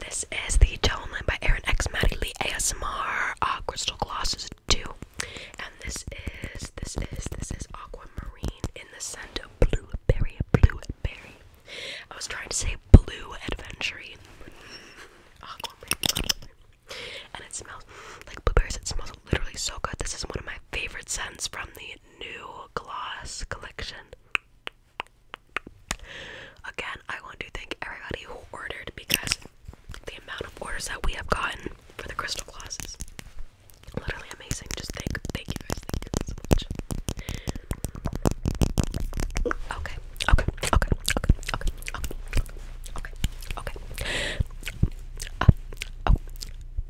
this is the Tone Line by Erin X Maddie Lee ASMR uh, Crystal Glosses too. And this is, this is, this is Aquamarine in the scent of Blueberry, Blueberry. I was trying to say Blue Adventure and it smells like blueberries. It smells literally so good. This is one of my favorite scents from the new gloss collection. Again, I want to thank everybody who ordered because the amount of orders that we have gotten for the crystal glosses literally amazing. Just thank thank you thank you so much. Okay, okay, okay, okay, okay, okay, okay, okay. Uh, oh,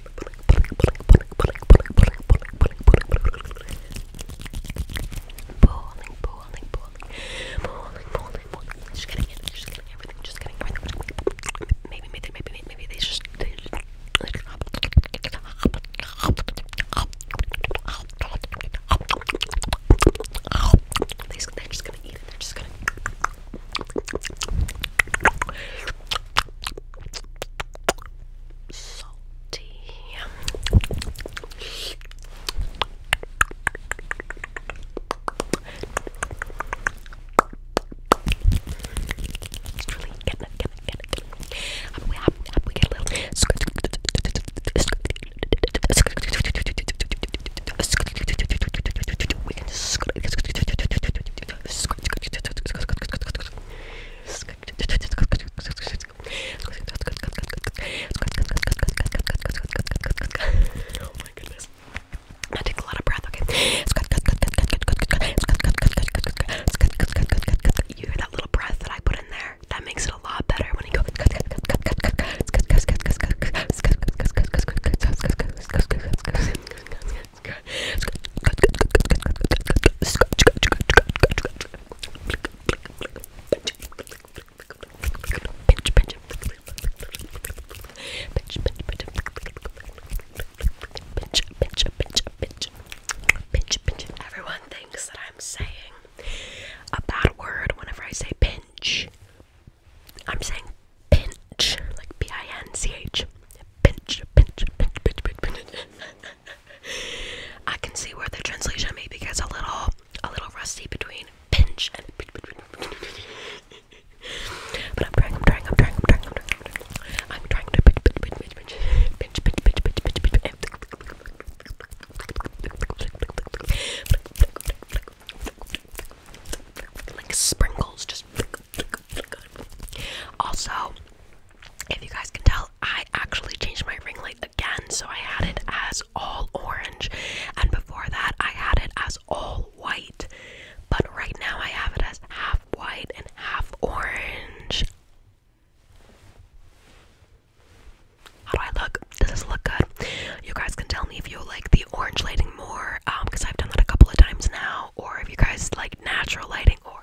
Bowling, bowling, bowling. Bowling, bowling, bowling. Just getting it, just getting everything, just getting everything. Maybe, maybe, maybe, maybe they just. They just they're just gonna eat it, they're just gonna salty. It's really getting it, getting it, getting it. How do we, how, how do we get a little? We can just. Oh my goodness. That takes a lot of breath, okay? You hear that little breath that I put in there? That makes it a lot better when you go. Everyone thinks that I'm saying a bad word whenever I say pinch. I'm saying pinch, like P I N C H. Pinch, pinch, pinch, pinch, pinch, pinch. I can see where the translation maybe gets a little a little rusty between pinch and But I'm trying, I'm trying, I'm trying, I'm trying, I'm trying, I'm trying. I'm trying to pinch pinch pinch pinch pinch pinch pinch pinch pinch pinch pinch like sprinkles just like also, if you guys can tell, I actually changed my ring light again. So I had it as all orange, and before that, I had it as all white. But right now, I have it as half white and half orange. How do I look? Does this look good? You guys can tell me if you like the orange lighting more, um, because I've done that a couple of times now, or if you guys like natural lighting or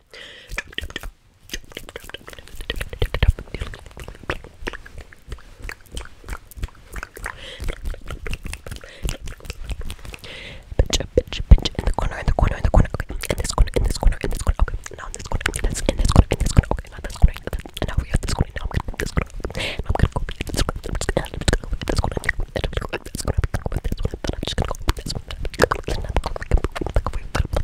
Pinch, pinch, pinch in the corner, in the corner, in the corner. Okay, in this corner, in this corner, in this corner. Okay, now in this corner, in this, in this corner, in this corner. Okay, now this corner, in this, and now we have this corner. Now I'm gonna move this corner. Okay, now I'm gonna go in this corner. I'm just gonna go in this corner. I'm gonna go in this corner. I'm gonna go in this corner. I'm just gonna go in this corner. I'm just gonna go in this corner.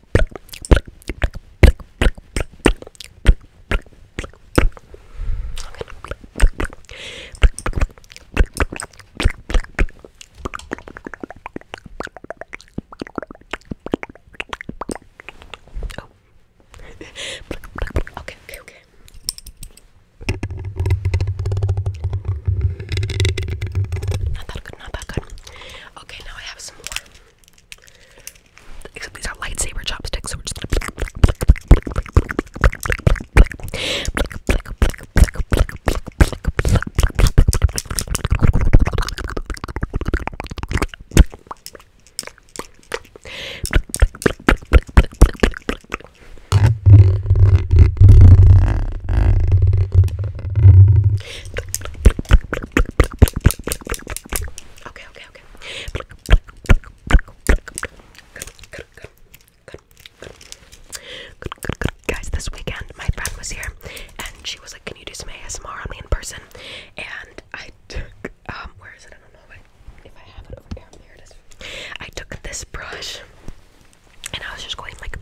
Oh. okay, okay, okay. Not that good, not that good. Okay, now I have some more. Except these are lightsaber chopsticks, so we're just gonna. Okay, okay, okay. Guys, this weekend my friend was here and she was like, Can you do some ASMR on me in person? And I took, um, where is it? I don't know if if I have it over here. Here it is. I took this brush and I was just going like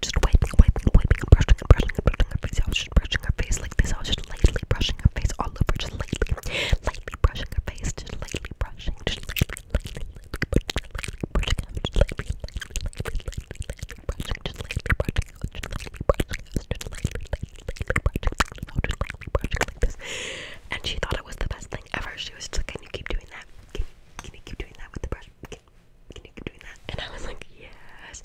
just wiping, wiping, wiping, and brushing brushing brushing her face. I was just brushing her face like this. I was just lightly brushing her face all over, just lightly, lightly brushing her face, just lightly brushing, just lightly, lightly, lightly brushing, just lightly, lightly, lightly, lightly brushing, just lightly brushing, just lightly brushing, just lightly, lightly, lightly brushing, just lightly brushing like this. And she thought it was the best thing ever. She was just like, "Can you keep doing that? Keep can you keep doing that with the brush? Can, you keep doing that? And I was like, yes,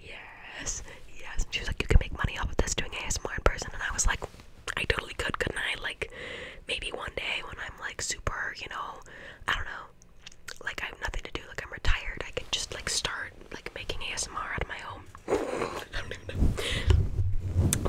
yes, yes. she was like, you can make money off of this doing ASMR in person. And I was like, I totally could, couldn't I? Like, maybe one day when I'm like super, you know, I don't know, like I have nothing to do, like I'm retired, I can just like start like making ASMR out of my home.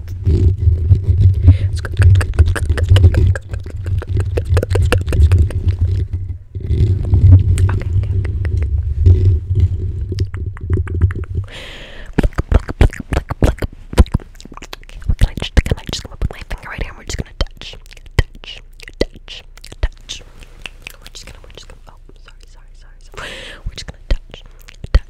Can I just, can I just come up with my finger right here? And we're just gonna touch, touch, touch, touch. We're just gonna, we're just gonna. Oh, sorry, sorry, sorry. sorry. We're just gonna touch, touch,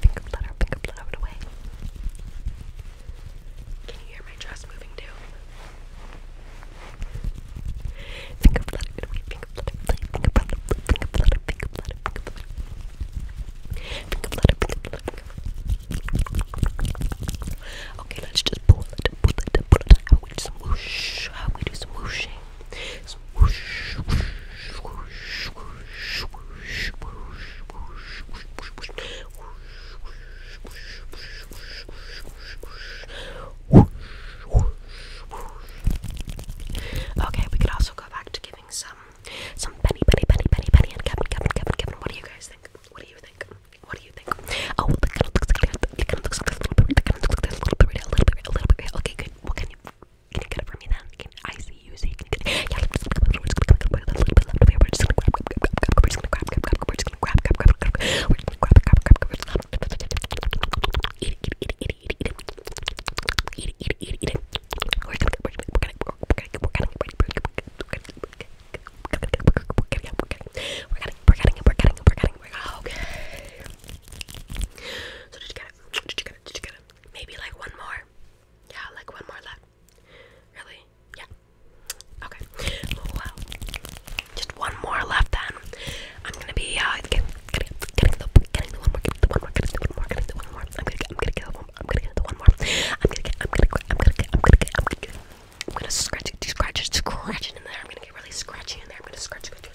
Finger blood finger blood away. Can you hear my dress moving too? Finger blood away, finger blood away, finger blood finger blood finger blood finger blood Finger blood finger blood finger blood Okay, let's just pull it, pull it, pull it out. We do some whoosh. How we do some whooshing. Okay, we could also go back to giving some some penny penny penny penny penny and Kevin Kevin Kevin Kevin. What do you guys think? What do you think? What do you think? Oh, the kind of looks like a little bit, a little bit, a little bit, a little bit. Okay, good. What can you? Can you get it for me then? Can I see you? So you can get it. Yeah, we're just gonna grab, we're just gonna grab, we're just gonna grab, we're just gonna grab, we're just gonna grab, we're just gonna grab, we're just gonna grab, eat it, eat it, eat it, eat it, eat it, eat it, eat it, eat it. We're gonna, we're gonna, we're gonna, we're gonna, we're gonna, we're gonna, we're gonna, we're gonna, we're gonna, we're gonna, we're gonna, we're getting it, we're getting it, we're getting it, we're getting it, okay. So did you get it? Did you get it? Did you get it? Maybe like one more. Yeah, like one more left. Really? Yeah. Okay. Well, just one more left then. I'm gonna be uh getting getting getting the getting the one more getting the one more getting the one more getting the one more. I'm gonna get I'm gonna get the one I'm gonna get the one more. I'm gonna get I'm gonna get I'm gonna get I'm gonna get I'm gonna get I'm gonna scratch it scratch it scratch it in there. I'm gonna get really scratchy in there. I'm gonna scratch it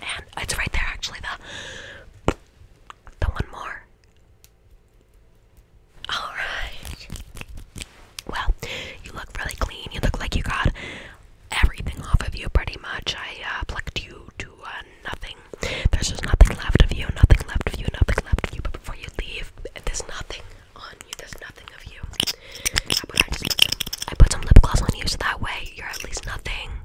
and it's right there actually the the one more all right well you look really clean you look like you got everything off of you pretty much i uh, plucked you to uh, nothing there's just nothing left of you nothing left of you nothing left of you but before you leave there's nothing on you there's nothing of you I put some lip gloss on you so that way you're at least nothing